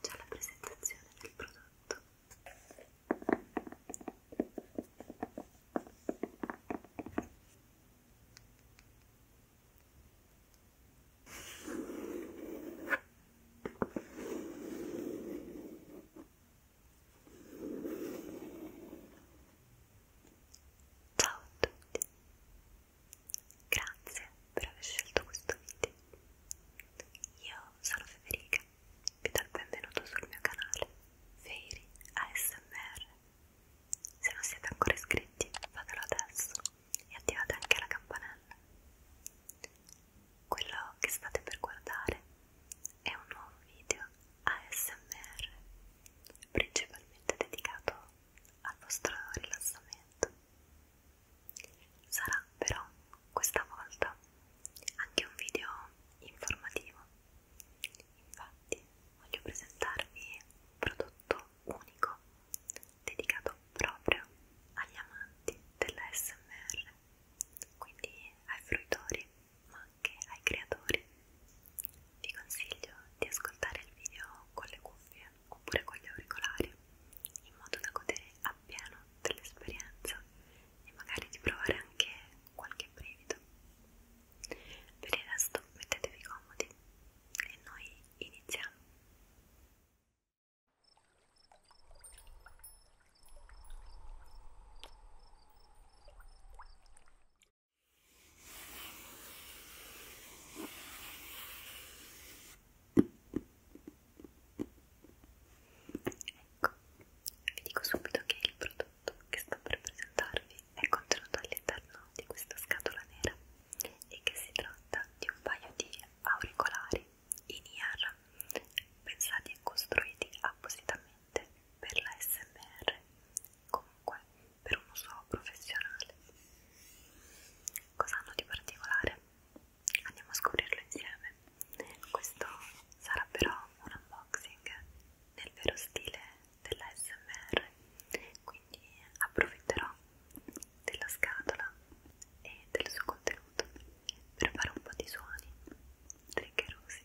C'è la presentazione del prodotto. Ciao a tutti, grazie per aver scelto questo video. Io sono Federica, vi do il benvenuto sul mio canale Fairy ASMR. Se non siete ancora iscritti, fatelo adesso e attivate anche la campanella. Quello che state per guardare è un nuovo video ASMR principalmente dedicato al vostro rilassamento. Sarà però questa volta anche un video informativo. Infatti voglio presentarvi un prodotto unico dedicato proprio agli amanti dell'ASMR, quindi ai fruitori ma anche ai creatori. Vi consiglio di ascoltare il video con le cuffie oppure con gli auricolari in modo da godere appieno dell'esperienza e magari di provare anche qualche brivido. Per il resto mettetevi comodi e noi iniziamo. Ecco, vi dico subito che il prodotto che sto per presentarvi è contenuto all'interno di questa scatola nera e che si tratta di un paio di auricolari in IR pensati e costruiti appositamente importante per la SMR, comunque per un uso professionale. Cosa hanno di particolare? Andiamo a scoprirlo insieme. Questo sarà però un unboxing nel vero stile della SMR, quindi approfitterò della scatola e del suo contenuto per fare un po' di suoni triggerosi.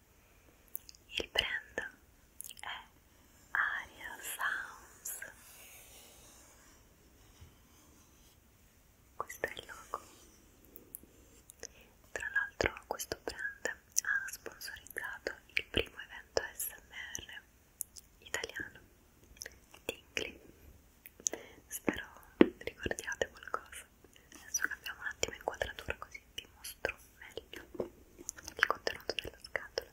Il brand è Aria Sounds. Questo è il logo. Tra l'altro questo brand ha sponsorizzato il primo evento SMR italiano Tingly. Spero ricordiate qualcosa. Adesso cambiamo un attimo inquadratura così vi mostro meglio il contenuto della scatola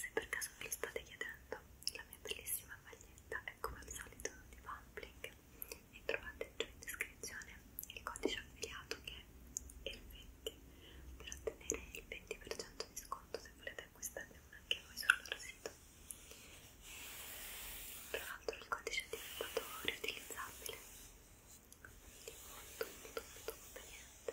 Se per caso ve lo state chiedendo, la mia bellissima maglietta è come al solito di Pumpling e trovate giù in descrizione il codice affiliato che è il 20 per ottenere il 20% di sconto se volete acquistarne uno anche voi sul loro sito. Tra l'altro il codice è diventato riutilizzabile, quindi molto molto molto conveniente.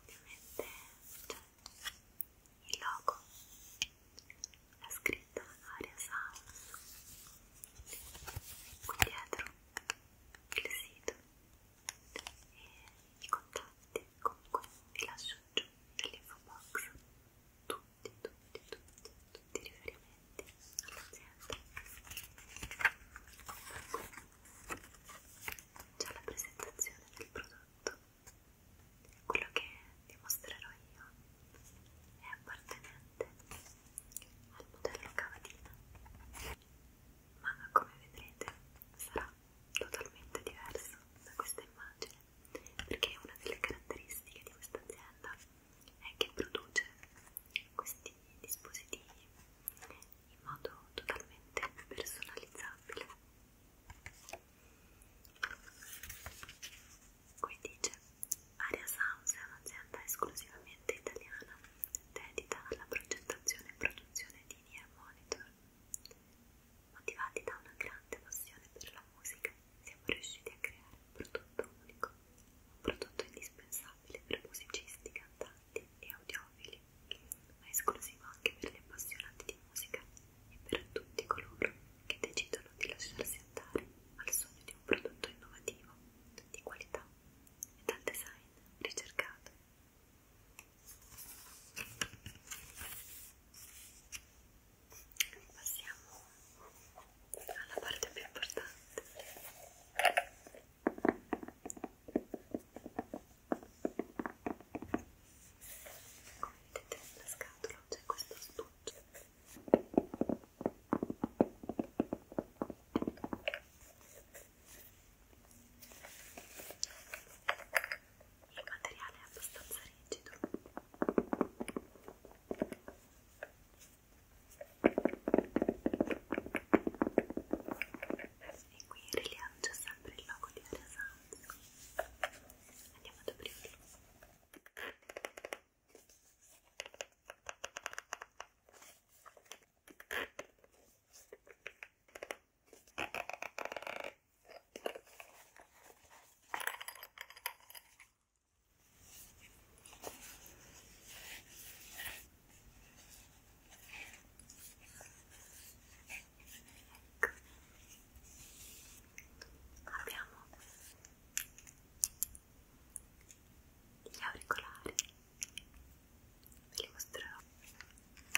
ovviamente c'è cioè, il logo, la scritta magari a Sounds, qui dietro il sito e i contatti, comunque vi lascio giù nell'info box tutti, tutti, tutti, tutti i riferimenti all'azienda già la presentazione del prodotto. Quello che vi mostrerò io è appartenente al modello cavatina, ma come vedrete sarà totalmente diverso da questa immagine perché una delle caratteristiche di questa azienda è che produce questi dispositivi in modo totalmente personalizzabile. Qui dice, Aria Sounds è un'azienda esclusivamente italiana dedita alla progettazione e produzione di ear monitor. Motivati da una grande passione per la musica, siamo riusciti a creare un prodotto unico, un prodotto indispensabile per musicisti, cantanti e audiofili ma esclusivo anche per gli appassionati di musica e per tutti coloro che decidono di lasciarsi andare al sogno di un prodotto innovativo, di qualità e dal design ricercato. Passiamo alla parte più importante come vedete nella scatola c'è questo astuccio il materiale è abbastanza rigido e qui in rilievo c'è sempre il logo di Aria Sound andiamo ad aprirlo abbiamo gli auricolari ve li mostrerò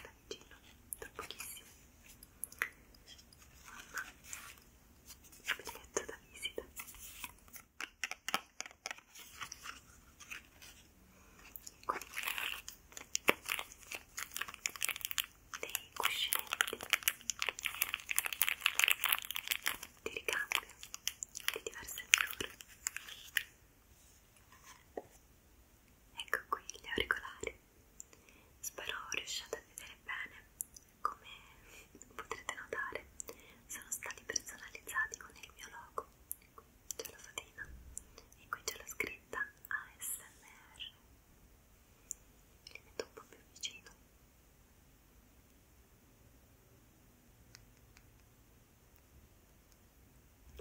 da vicino tra pochissimo mamma il biglietto da visita dei cuscinetti di ricambio di diverse misure ecco qui gli auricolari spero riusciate a vedere bene come potrete notare sono stati personalizzati con il mio logo ecco c'è la fatina e qui c'è la scritta ASMR li metto un po' più vicino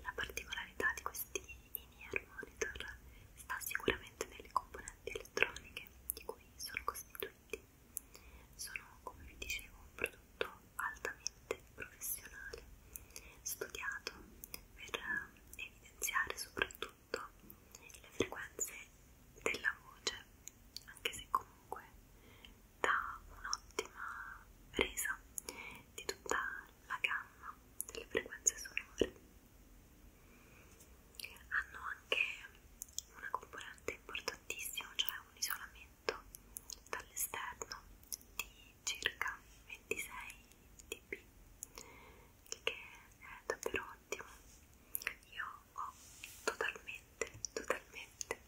la particolarità di questi in-ear monitor sta sicuramente nelle componenti elettroniche di cui sono costituiti sono come vi dicevo un prodotto altamente professionale studiato per evidenziare soprattutto le frequenze della voce, anche se comunque dà un'ottima resa di tutta la gamma delle frequenze sonore. Hanno anche una componente importantissima, cioè un isolamento dall'esterno di circa 26 DB che è davvero ottimo io ho totalmente totalmente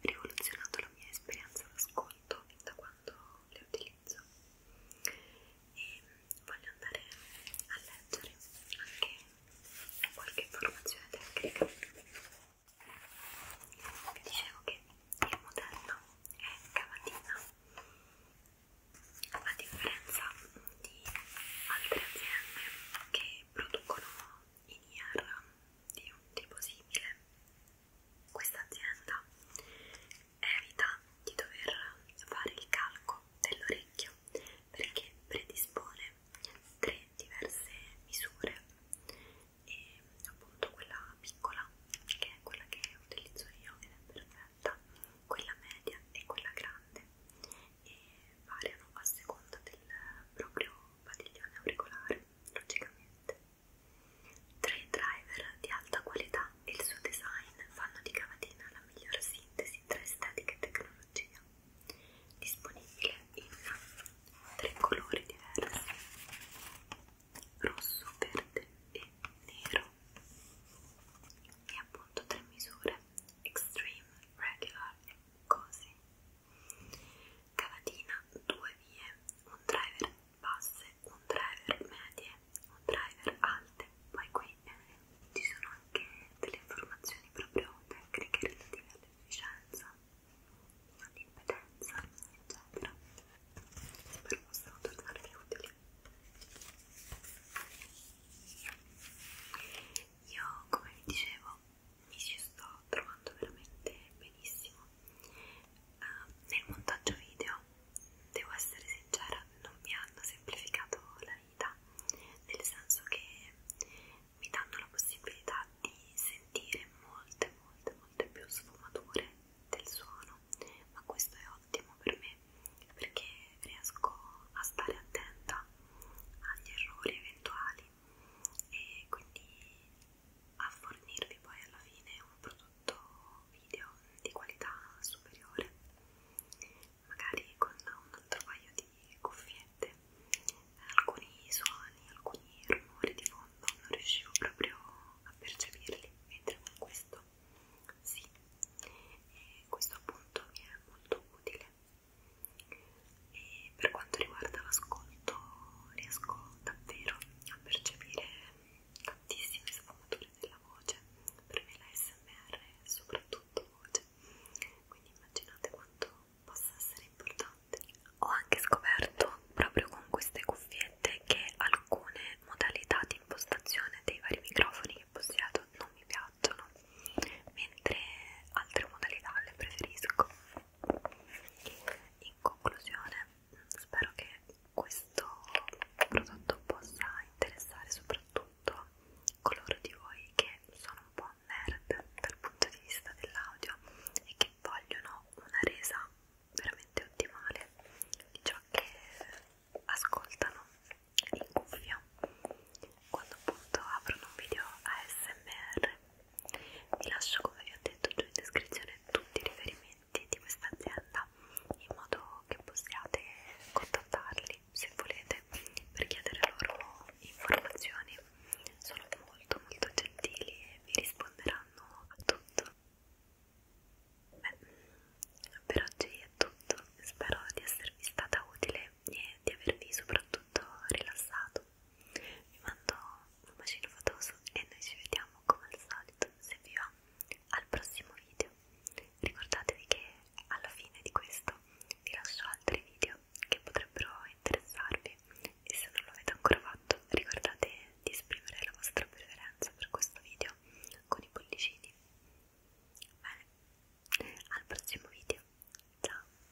rivoluzionato la mia esperienza d'ascolto da quando le utilizzo e voglio andare a leggere anche qualche informazione tecnica vi dicevo che il modello è cavatina a differenza di altre aziende che producono in IR di un tipo simile questa azienda evita di dover fare il calco dell'orecchio perché predispone tre diverse misure e appunto quella piccola che è quella che utilizzo io ed è perfetta quella media e quella grande e variano a seconda del proprio padiglione auricolare logicamente tre driver di alta qualità e il suo design fanno di cavatina la migliore sintesi tra estetica e tecnologia disponibile in tre colori diversi rosso, verde e nero e appunto tre misure extreme, regular e così cavatina, due vie, un driver basse, un driver medie, un driver alte poi qui eh, ci sono anche delle informazioni proprio tecniche relative all'efficienza all'impedenza eccetera spero possano tornarvi utili io, come vi dicevo, mi ci sto trovando veramente benissimo. Uh, nel montaggio video, devo essere sincera, non mi hanno semplificato la vita, nel senso che mi danno la possibilità di sentire molte, molte, molte più sfumature del suono ma questo è ottimo per me perché riesco a stare attenta agli errori eventuali e quindi a fornirvi poi alla fine un prodotto video di qualità superiore magari con un altro paio di cuffiette alcuni suoni, alcuni rumori di fondo non riuscivo proprio a percepirli mentre con questo detto sì e questo appunto mi è molto utile e per quanto riguarda l'ascolto riesco davvero a percepire tantissime sfumature della voce per me la SMR è soprattutto voce quindi immaginate quanto possa essere importante ho anche scoperto proprio con queste cuffiette direte che alcune modalità di impostazione dei vari microfoni che possiedo non mi piacciono, mentre altre modalità le preferisco. In conclusione, spero che questo prodotto possa interessare soprattutto coloro di voi che sono un po' nerd dal punto di vista dell'audio e che vogliono una resa veramente ottimale di ciò che ascoltano in cuffia quando appunto aprono un video ASMR. Vi lascio come vi ho detto giù in descrizione tutti i riferimenti di questa azienda in modo che possiate contattarli se volete per chiedere loro informazioni. Sono molto molto gentili e vi risponderanno a tutto. Beh, per oggi è tutto, spero di esservi stata utile e di avervi soprattutto rilassato. Vi mando un bacino fatoso e noi ci vediamo come al solito, se vi va, al prossimo video. Ricordatevi che alla fine di questo vi lascio altri video che potrebbero interessarvi e se non l'avete ancora fatto ricordate di esprimere la vostra preferenza per questo video con i pollicini. Bene, al prossimo video. Ciao.